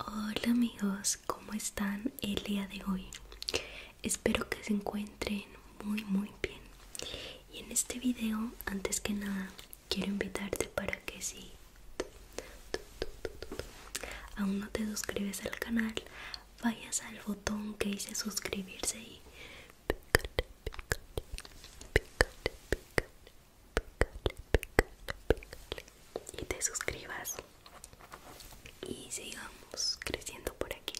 Hola amigos, ¿cómo están el día de hoy? Espero que se encuentren muy muy bien. Y en este video, antes que nada, quiero invitarte para que si aún no te suscribes al canal, vayas al botón que dice suscribirse y y te suscribas y sigamos creciendo por aquí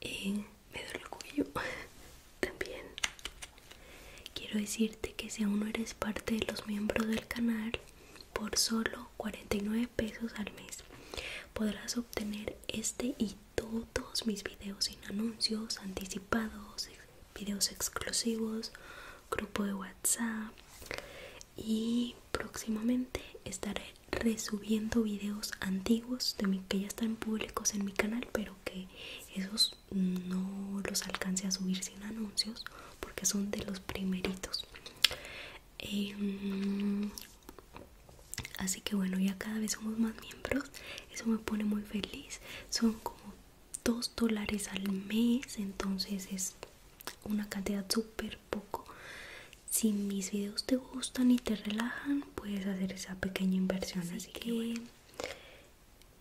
eh, me duele cuello también quiero decirte que si aún no eres parte de los miembros del canal por solo 49 pesos al mes podrás obtener este y todos mis videos sin anuncios anticipados videos exclusivos, grupo de WhatsApp y próximamente estaré resubiendo videos antiguos de que ya están públicos en mi canal, pero que esos no los alcance a subir sin anuncios porque son de los primeritos. Em, así que bueno, ya cada vez somos más miembros eso me pone muy feliz son como 2 dólares al mes entonces es una cantidad súper poco si mis videos te gustan y te relajan puedes hacer esa pequeña inversión así, que,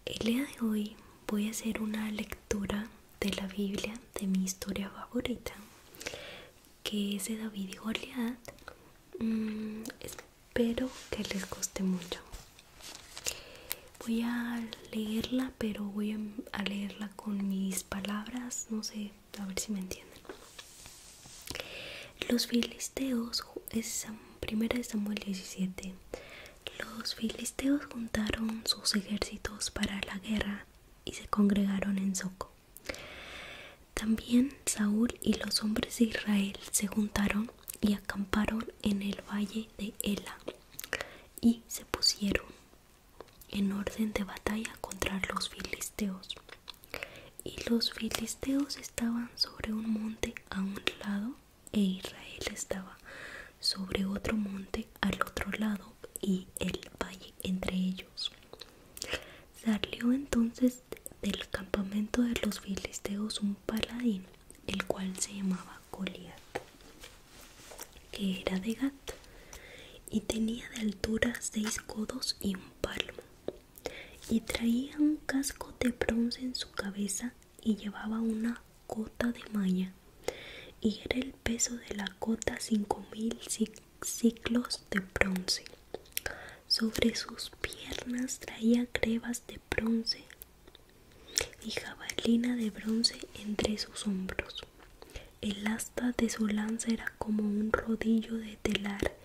el día de hoy voy a hacer una lectura de la biblia de mi historia favorita que es de David y Goliath mm, pero que les coste mucho voy a leerla pero voy a leerla con mis palabras no sé a ver si me entienden los filisteos es primera Samuel 17 los filisteos juntaron sus ejércitos para la guerra y se congregaron en Soco también Saúl y los hombres de Israel se juntaron y acamparon en el valle de Ela y se pusieron en orden de batalla contra los filisteos. Y los filisteos estaban sobre un monte a un lado e Israel estaba sobre otro monte al otro lado y el valle entre ellos. Salió entonces del campamento de los filisteos un paladín, el cual se llamaba Goliath que era de gato y tenía de altura seis codos y un palmo, y traía un casco de bronce en su cabeza y llevaba una cota de malla, y era el peso de la cota cinco mil ciclos de bronce. Sobre sus piernas traía crevas de bronce y jabalina de bronce entre sus hombros. El asta de su lanza era como un rodillo de telar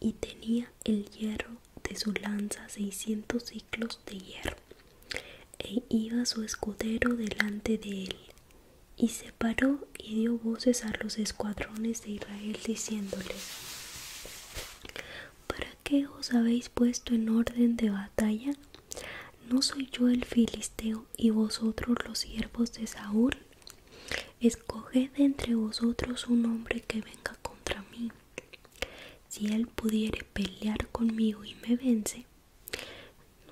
y tenía el hierro de su lanza seiscientos ciclos de hierro. E iba su escudero delante de él. Y se paró y dio voces a los escuadrones de Israel diciéndoles ¿Para qué os habéis puesto en orden de batalla? ¿No soy yo el filisteo y vosotros los siervos de Saúl? Escoged entre vosotros un hombre que venga contra mí. Si él pudiere pelear conmigo y me vence,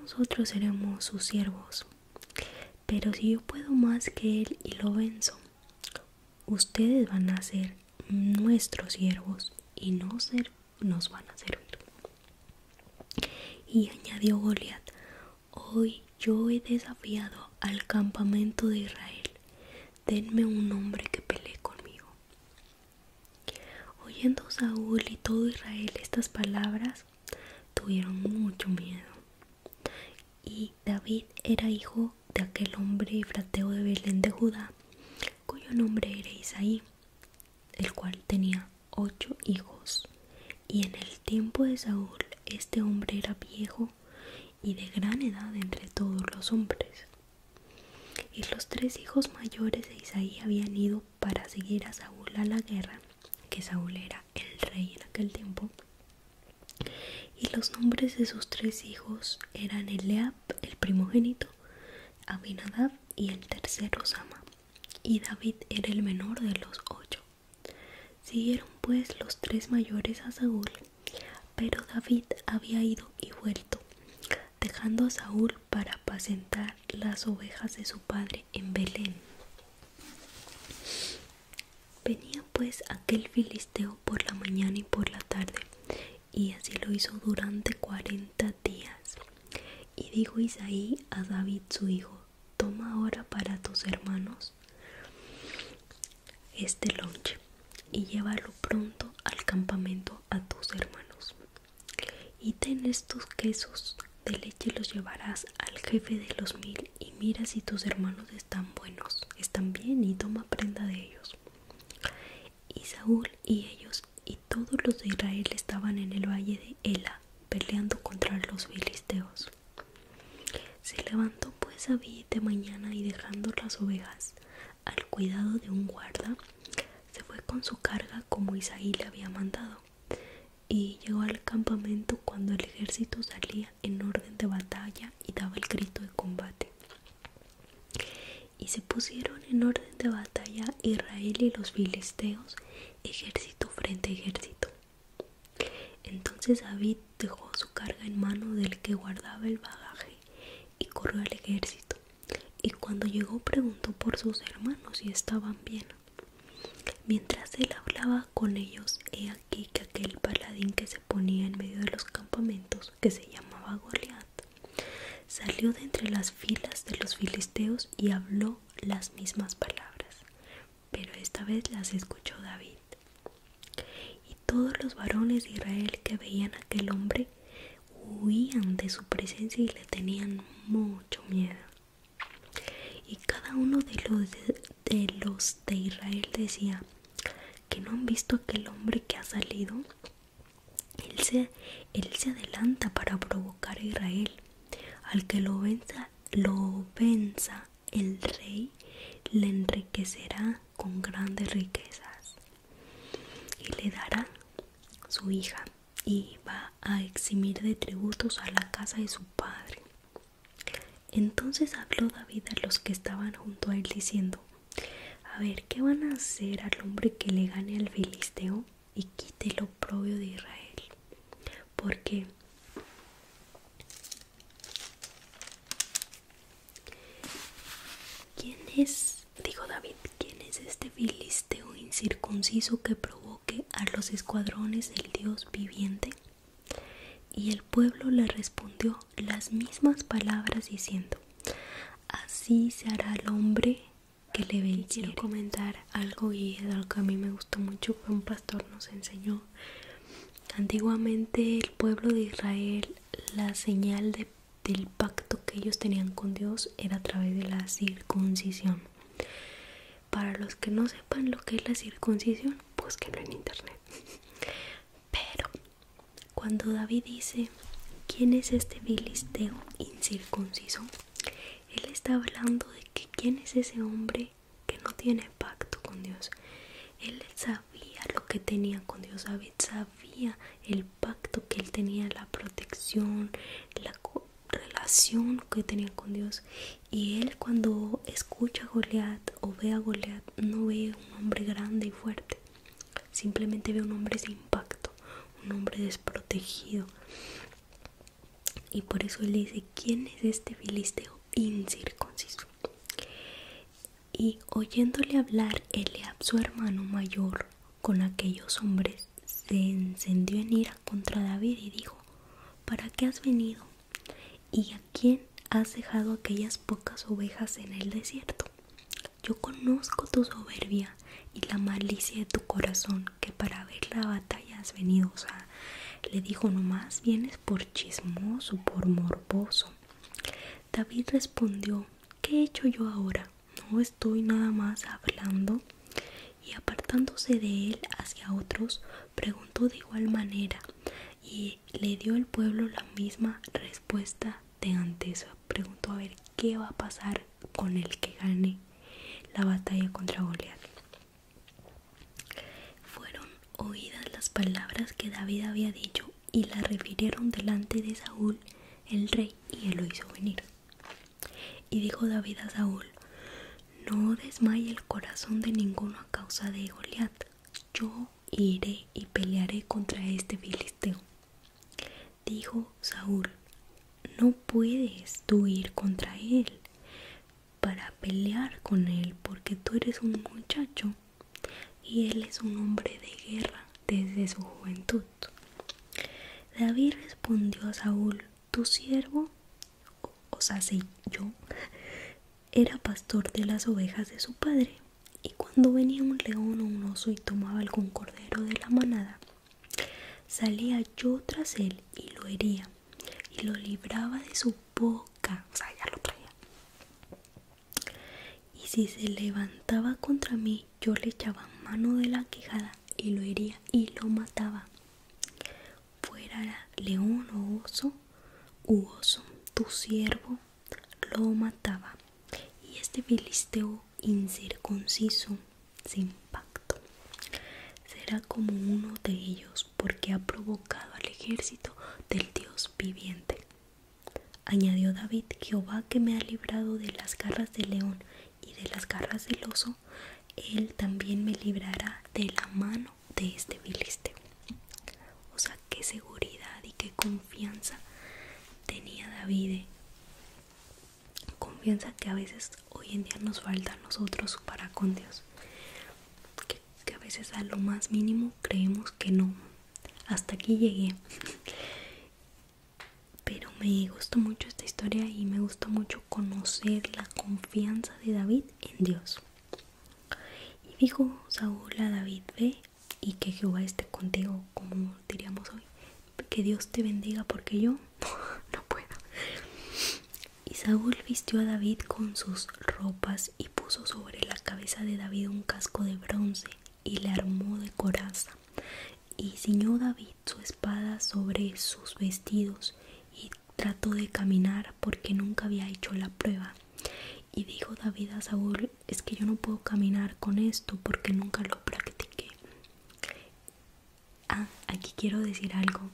nosotros seremos sus siervos. Pero si yo puedo más que él y lo venzo, ustedes van a ser nuestros siervos y no ser, nos van a servir. Y añadió Goliath: hoy yo he desafiado al campamento de Israel, denme un hombre que pelee conmigo. Oyendo Saúl y todo Israel estas palabras, tuvieron mucho miedo. Y David era hijo de aquel hombre frateo de Belén de Judá, cuyo nombre era Isaí, el cual tenía ocho hijos. Y en el tiempo de Saúl este hombre era viejo y de gran edad entre todos los hombres. Y los tres hijos mayores de Isaí habían ido para seguir a Saúl a la guerra, que Saúl era el rey en aquel tiempo, y los nombres de sus tres hijos eran Eleab, el primogénito, Abinadab y el tercero Sama. Y David era el menor de los ocho. Siguieron pues los tres mayores a Saúl, pero David había ido y vuelto, dejando a Saúl para apacentar las ovejas de su padre en Belén. Venía pues aquel filisteo por la mañana y por la tarde, y así lo hizo durante cuarenta días. Y dijo Isaí a David su hijo, toma ahora para tus hermanos este lonche y llévalo pronto al campamento a tus hermanos. Y ten estos quesos de leche los llevarás al jefe de los mil y mira si tus hermanos están buenos, están bien y toma prenda de ellos. Y Saúl y ellos y todos los de Israel estaban en el valle de Ela peleando contra los filisteos. Se levantó pues David de mañana y dejando las ovejas al cuidado de un guarda, se fue con su carga como Isaí le había mandado y llegó al campamento cuando el ejército salía en orden de batalla y daba el grito de combate. Y se pusieron en orden de batalla Israel y los filisteos, ejército frente ejército. Entonces David dejó su carga en mano del que guardaba el bagaje y corrió al ejército. Y cuando llegó preguntó por sus hermanos si estaban bien. Mientras él hablaba con ellos, que aquel paladín que se ponía en medio de los campamentos, que se llamaba Goliat, salió de entre las filas de los filisteos y habló las mismas palabras, pero esta vez las escuchó David. Y todos los varones de Israel que veían a aquel hombre huían de su presencia y le tenían mucho miedo. Y cada uno de los, de los de Israel decía que no han visto aquel hombre que ha salido. Él se, adelanta para provocar a Israel. Al que lo venza, lo venza el rey, le enriquecerá con grandes riquezas y le dará su hija y va a eximir de tributos a la casa de su padre. Entonces habló David a los que estaban junto a él diciendo, a ver, ¿qué van a hacer al hombre que le gane al filisteo y quite el oprobio de Israel? Porque ¿quién es, dijo David, quién es este filisteo incircunciso que provoque a los escuadrones del Dios viviente? Y el pueblo le respondió las mismas palabras diciendo, así se hará al hombre que le ve Quiero comentar algo y algo que a mí me gustó mucho, que un pastor nos enseñó. Antiguamente el pueblo de Israel, la señal del pacto que ellos tenían con Dios era a través de la circuncisión. Para los que no sepan lo que es la circuncisión, búsquenlo en internet. Pero cuando David dice, ¿quién es este bilisteo incircunciso? Él está hablando de que quién es ese hombre que no tiene pacto con Dios. Él sabía lo que tenía con Dios, David sabía el pacto que él tenía, la protección, la relación que tenía con Dios y él cuando escucha a Goliat o ve a Goliat no ve un hombre grande y fuerte, simplemente ve un hombre sin impacto, un hombre desprotegido. Y por eso él dice, ¿quién es este filisteo incircunciso? Y oyéndole hablar Eliab, su hermano mayor, con aquellos hombres, se encendió en ira contra David y dijo, ¿para qué has venido? ¿Y a quién has dejado aquellas pocas ovejas en el desierto? Yo conozco tu soberbia y la malicia de tu corazón, que para ver la batalla has venido. O le dijo, nomás vienes por chismoso, por morboso. David respondió, ¿qué he hecho yo ahora? No estoy nada más hablando. Y apartándose de él hacia otros, preguntó de igual manera y le dio el pueblo la misma respuesta de antes. Preguntó a ver qué va a pasar con el que gane la batalla contra Goliat. Fueron oídas las palabras que David había dicho y las refirieron delante de Saúl, el rey, y él lo hizo venir. Y dijo David a Saúl, no desmaye el corazón de ninguno a causa de Goliat. Yo iré y pelearé contra este filisteo. Dijo Saúl: No puedes tú ir contra él para pelear con él, porque tú eres un muchacho y él es un hombre de guerra desde su juventud. David respondió a Saúl: tu siervo, o sea, yo, era pastor de las ovejas de su padre, y cuando venía un león o un oso y tomaba algún cordero de la manada, salía yo tras él y lo hería, y lo libraba de su boca, o sea, ya lo traía. Y si se levantaba contra mí, yo le echaba mano de la quejada, y lo hería y lo mataba fuera león o oso u oso, tu siervo lo mataba. Y este filisteo incircunciso sin pacto será como uno de ellos porque ha provocado al ejército del Dios viviente. Añadió David, Jehová que me ha librado de las garras del león y de las garras del oso, él también me librará de la mano de este biliste. O sea, qué seguridad y qué confianza tenía David. Eh. Confianza que a veces hoy en día nos falta a nosotros para con Dios. que a veces a lo más mínimo creemos que no. Hasta aquí llegué. Pero me gustó mucho esta historia y me gustó mucho conocer la confianza de David en Dios. Y dijo Saúl a David, ve y que Jehová esté contigo, como diríamos hoy, que Dios te bendiga porque yo no puedo. Y Saúl vistió a David con sus ropas y puso sobre la cabeza de David un casco de bronce y le armó de coraza. Y ciñó David su espada sobre sus vestidos y Trato de caminar porque nunca había hecho la prueba. Y dijo David a Saúl, es que yo no puedo caminar con esto porque nunca lo practiqué. Ah, aquí quiero decir algo.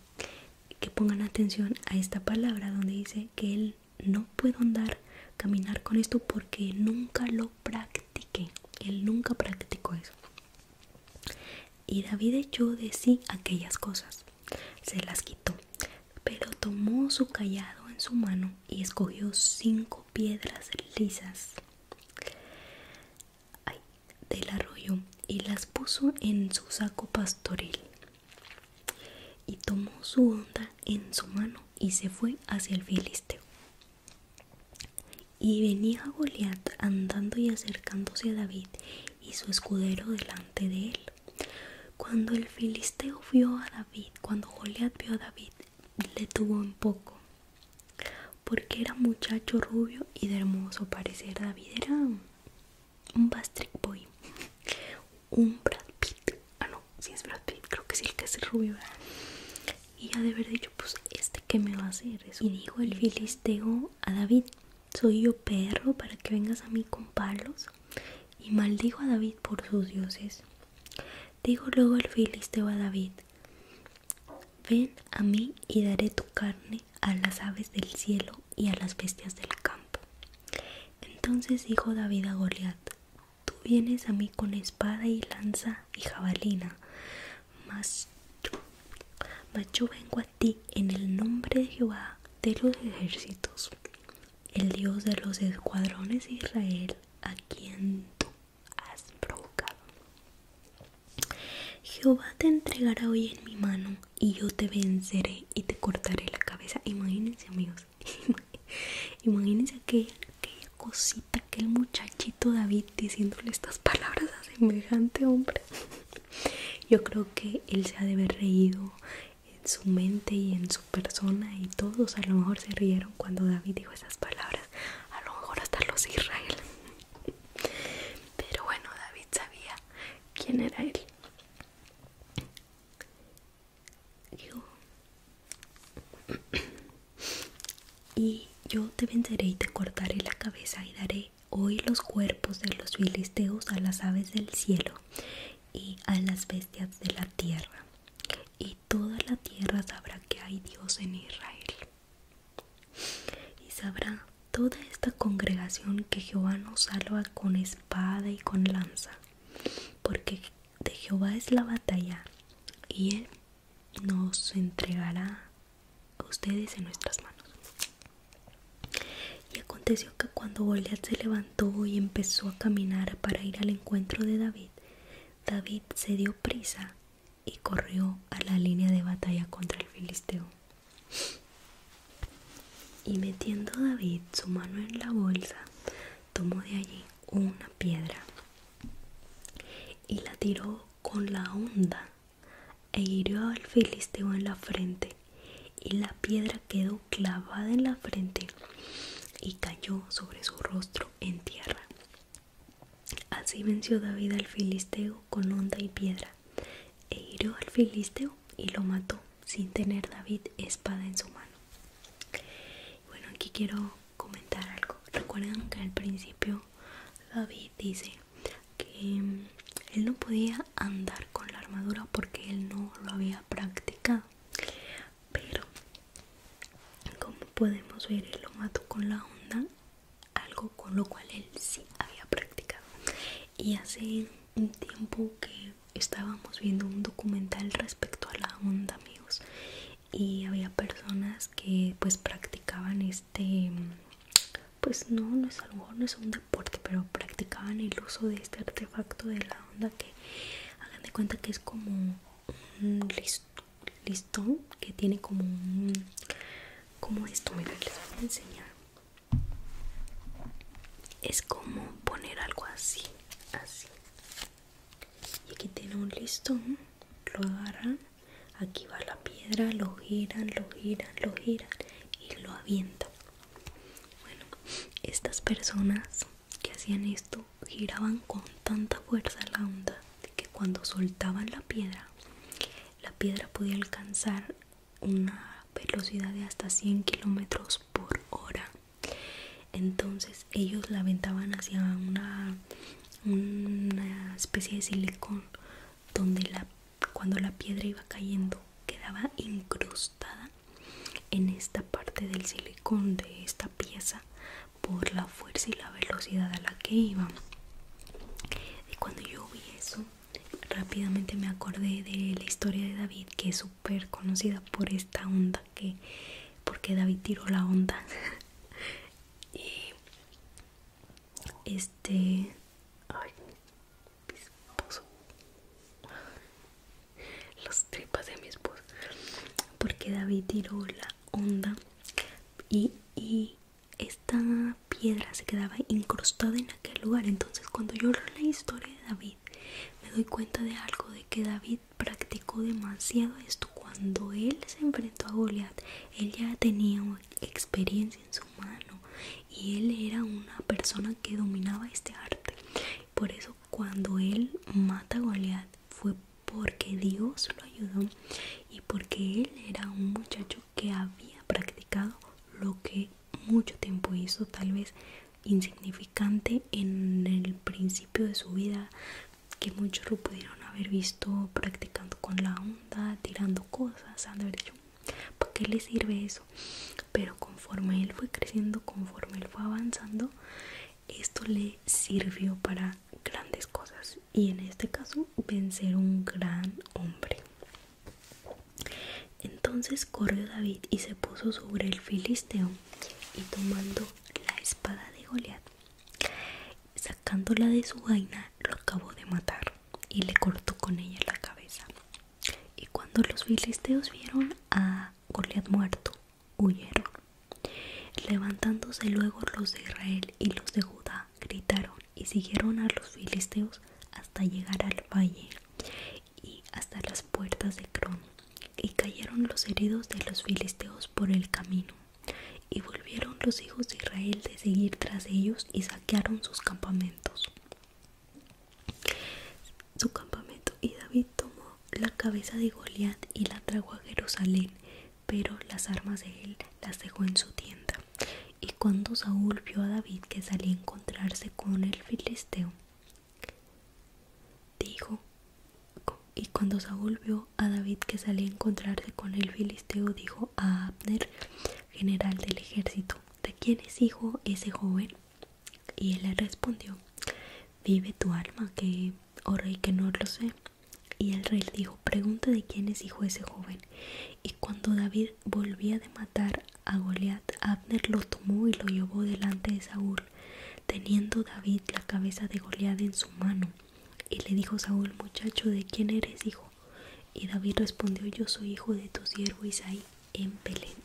Que pongan atención a esta palabra donde dice que él no puedo andar, caminar con esto porque nunca lo practiqué. Él nunca practicó eso. Y David echó de sí aquellas cosas, se las quitó, pero tomó su callado en su mano y escogió cinco piedras lisas del arroyo y las puso en su saco pastoril. Y tomó su onda en su mano y se fue hacia el filisteo. Y venía Goliat andando y acercándose a David, y su escudero delante de él. Cuando el filisteo vio a David, cuando Goliat vio a David, le tuvo un poco, porque era muchacho rubio y de hermoso parecer. David era un Bastric Boy, un Brad Pitt. Ah, no, si es Brad Pitt, creo que es el que es rubio. Y ya de haber dicho, pues, ¿este qué me va a hacer? Eso. Y dijo el filisteo a David: soy yo perro para que vengas a mí con palos. Y maldigo a David por sus dioses. digo luego el filisteo a David, ven a mí y daré tu carne a las aves del cielo y a las bestias del campo. Entonces dijo David a Goliat, tú vienes a mí con espada y lanza y jabalina, mas yo, vengo a en el nombre de Jehová de los ejércitos, el Dios de los escuadrones de Israel, a quien tú has provocado. Jehová te entregará hoy en mi mano y yo te venceré y te cortaré la cabeza. Imagínense amigos, imagínense aquella, aquella cosita, aquel muchachito David diciéndole estas palabras a semejante hombre yo creo que él se ha de haber reído en su mente y en su persona y todos a lo mejor se rieron cuando David dijo esas palabras a lo mejor hasta los Israel pero bueno David sabía quién era él y yo te venceré y te cortaré la cabeza y daré Hoy los cuerpos de los filisteos a las aves del cielo y a las bestias de la tierra. Y toda la tierra sabrá que hay Dios en Israel. Y sabrá toda esta congregación que Jehová nos salva con espada y con lanza. Porque de Jehová es la batalla y él nos entregará a ustedes en nuestras manos. Y aconteció que cuando Goliat se levantó y empezó a caminar para ir al encuentro de David, David se dio prisa y corrió a la línea de batalla contra el filisteo. Y metiendo David su mano en la bolsa, tomó de allí una piedra y la tiró con la onda e hirió al filisteo en la frente, y la piedra quedó clavada en la frente y cayó sobre su rostro en tierra. Así venció David al filisteo con honda y piedra, e hirió al filisteo y lo mató, sin tener David espada en su mano. Bueno, aquí quiero comentar algo. Recuerden que al principio David dice que mm, él no podía andar con la armadura porque él no lo había practicado pero como podemos ver él lo mató con la onda algo con lo cual él sí había practicado y hace un tiempo que estábamos viendo un documental respecto a la onda amigos y había personas que pues practicaban este mm, pues no, no es, algo, no es un deporte, pero practicaban el uso de este artefacto de la onda que hagan de cuenta que es como un listón que tiene como un, como esto, mira, les voy a enseñar. Es como poner algo así, así. Y aquí tiene un listón, lo agarran Aquí va la piedra, lo giran, lo giran, lo giran y lo avientan. Bueno, estas personas que hacían esto giraban con tanta fuerza la onda que cuando soltaban la piedra, la piedra podía alcanzar una velocidad de hasta 100 kilómetros por hora. Entonces ellos la aventaban hacia una una especie de silicón donde la, cuando la piedra iba cayendo quedaba incrustada en esta parte del silicón de esta pieza por la fuerza y la velocidad a la que iba y cuando yo vi eso rápidamente me acordé de la historia de David que es súper conocida por esta onda que porque David tiró la onda este ay mi esposo los tripas de mi esposo porque David tiró la onda y, y esta piedra se quedaba incrustada en aquel lugar entonces cuando yo leo la historia de David me doy cuenta de algo de que David practicó demasiado esto cuando él se enfrentó a Goliath él ya tenía experiencia en su mano y él era una persona que dominaba este arte. Por eso cuando él mata a Goliath fue porque Dios lo ayudó y porque él era un muchacho que había practicado lo que mucho tiempo hizo, tal vez insignificante en el principio de su vida, que muchos lo pudieron haber visto practicando con la onda, tirando cosas, han de haber dicho, ¿para qué le sirve eso? Pero conforme él fue creciendo, conforme él fue avanzando, esto le sirvió para grandes cosas y en este caso vencer un gran hombre. Entonces corrió David y se puso sobre el filisteo y tomando la espada de Goliat sacándola de su vaina lo acabó de matar y le cortó con ella la cabeza. Y cuando los filisteos vieron a Goliat muerto, huyeron. Levantándose luego los de Israel y los de Judá, gritaron y siguieron a los filisteos hasta llegar al valle y hasta las puertas de Cron. Y cayeron los heridos de los filisteos por el camino y volvieron los hijos de Israel de seguir tras ellos y saquearon sus campamentos. Su campamento y David tomó la cabeza de Goliat y la trajo a Jerusalén, pero las armas de él las dejó en su tienda. Y cuando Saúl vio a David que salía a encontrarse con el filisteo, dijo, y cuando Saúl vio a David que salía a encontrarse con el filisteo, dijo a Abner, general del ejército, ¿de quién es hijo ese joven? Y él le respondió, vive tu alma, que, oh rey, que no lo sé. Y el rey le dijo, pregunta de quién es hijo ese joven. Y cuando David volvía de matar a Goliat, Abner lo tomó y lo llevó delante de Saúl, teniendo David la cabeza de Goliat en su mano. Y le dijo Saúl, muchacho, ¿de quién eres hijo? Y David respondió, yo soy hijo de tu siervo Isaí en Belén.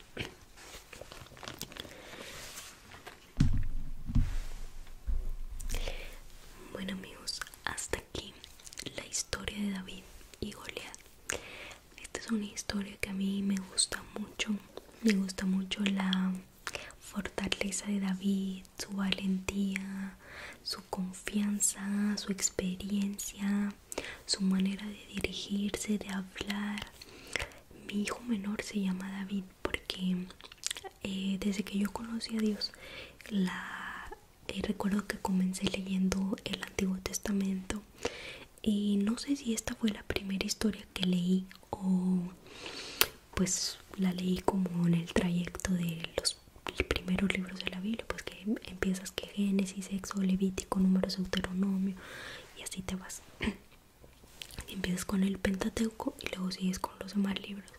Bueno amigos, hasta aquí la historia de David y Goliat. Esta es una historia que a mí me gusta mucho. Me gusta mucho la fortaleza de David, su valentía, su confianza, su experiencia, su manera de dirigirse, de hablar. Mi hijo menor se llama David porque eh, desde que yo conocí a Dios, eh, recuerdo que comencé leyendo el Antiguo Testamento y no sé si esta fue la primera historia que leí o pues la leí como en el trayecto de los primeros libros de la Biblia, pues que em, empiezas que Génesis, Sexo, Levítico, Números, Deuteronomio y así te vas. empiezas con el Pentateuco y luego sigues con los demás libros.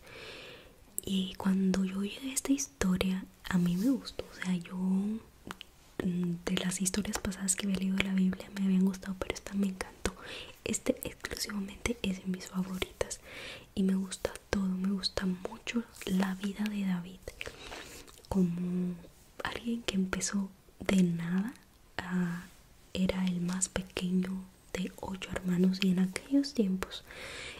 Y cuando yo llegué esta historia, a mí me gustó, o sea, yo mm, de las historias pasadas que había leído de la Biblia me habían gustado, pero esta me encantó este exclusivamente es de mis favoritas y me gusta todo me gusta mucho la vida de David como alguien que empezó de nada era el más pequeño de ocho hermanos y en aquellos tiempos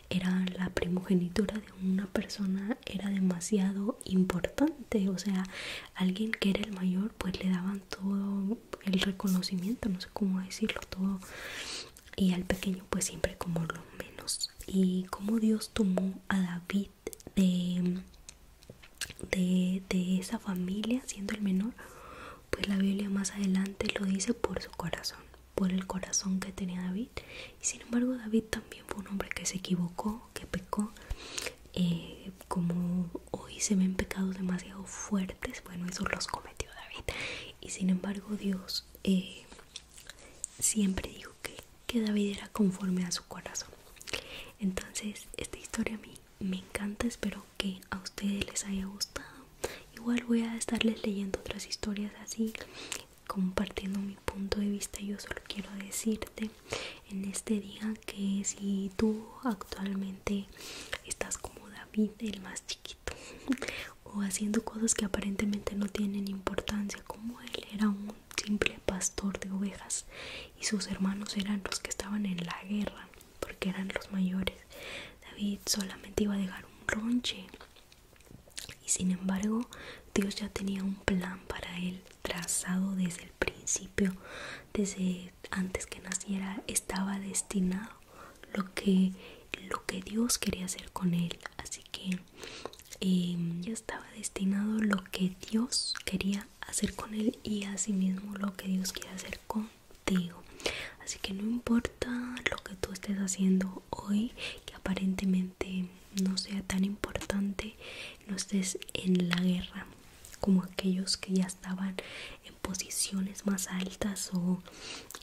era la primogenitura de una persona era demasiado importante o sea alguien que era el mayor pues le daban todo el reconocimiento, no sé cómo decirlo todo, y al pequeño pues siempre como lo menos. Y como Dios tomó a David de, de, esa familia siendo el menor, pues la Biblia más adelante lo dice por su corazón, por el corazón que tenía David. Y sin embargo David también fue un hombre que se equivocó, que pecó. Eh, como hoy se ven pecados demasiado fuertes, bueno, eso los cometió David. Y sin embargo Dios eh, siempre dijo que, que David era conforme a su corazón. Entonces, esta historia a mí me encanta, espero que a ustedes les haya gustado. Igual voy a estarles leyendo otras historias así, compartiendo mi punto de vista. Yo solo quiero decirte en este día que si tú actualmente estás como David, el más chiquito, o haciendo cosas que aparentemente no tienen importancia, como él era un simple pastor de ovejas y sus hermanos eran los que estaban en la guerra, porque eran los mayores. David solamente iba a dejar un ronche y sin embargo Dios ya tenía un plan para él trazado desde el principio desde antes que naciera estaba destinado lo que lo que Dios quería hacer con él así que em, ya estaba destinado lo que Dios quería hacer con él y así mismo lo que Dios quiere hacer contigo así que no importa lo que tú estés haciendo hoy que aparentemente no sea tan importante no estés en la guerra como aquellos que ya estaban en posiciones más altas o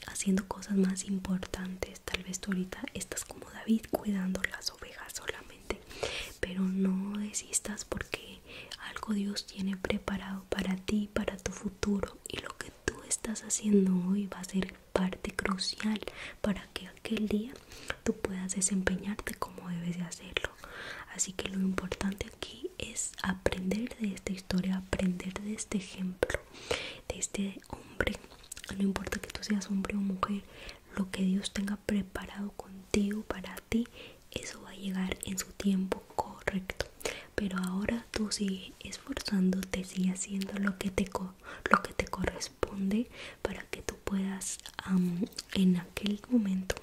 haciendo cosas más importantes. Tal vez tú ahorita estás como David cuidando las ovejas solamente, pero no desistas porque algo Dios tiene preparado para ti, para tu futuro y lo que tú estás haciendo hoy va a ser parte crucial para que aquel día tú puedas desempeñarte como debes de hacerlo. Así que lo importante aquí es aprender de esta historia, aprender de este ejemplo, de este hombre. No importa que tú seas hombre o mujer, lo que Dios tenga preparado contigo para ti, eso va a llegar en su tiempo correcto. Pero ahora tú sigue esforzándote, sigue haciendo lo que te, corresponde para que tú puedas en aquel momento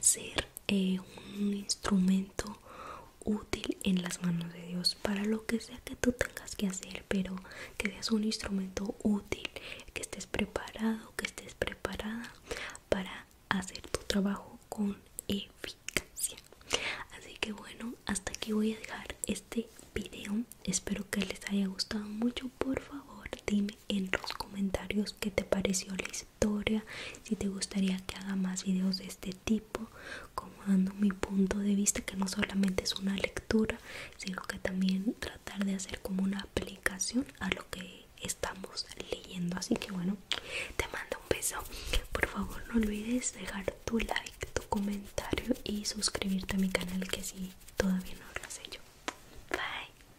ser eh, un instrumento útil en las manos de Dios para lo que sea que tú tengas que hacer pero que seas un instrumento útil que estés preparado que estés preparada para hacer tu trabajo con eficacia así que bueno hasta aquí voy a dejar este video espero que les haya gustado mucho por favor dime en los comentarios qué te pareció la historia, si te gustaría que haga más videos de este tipo, como dando mi punto de vista, que no solamente es una lectura, sino que también tratar de hacer como una aplicación a lo que estamos leyendo. Así que bueno, te mando un beso. Por favor, no olvides dejar tu like, tu comentario y suscribirte a mi canal que si todavía no lo has hecho. Bye.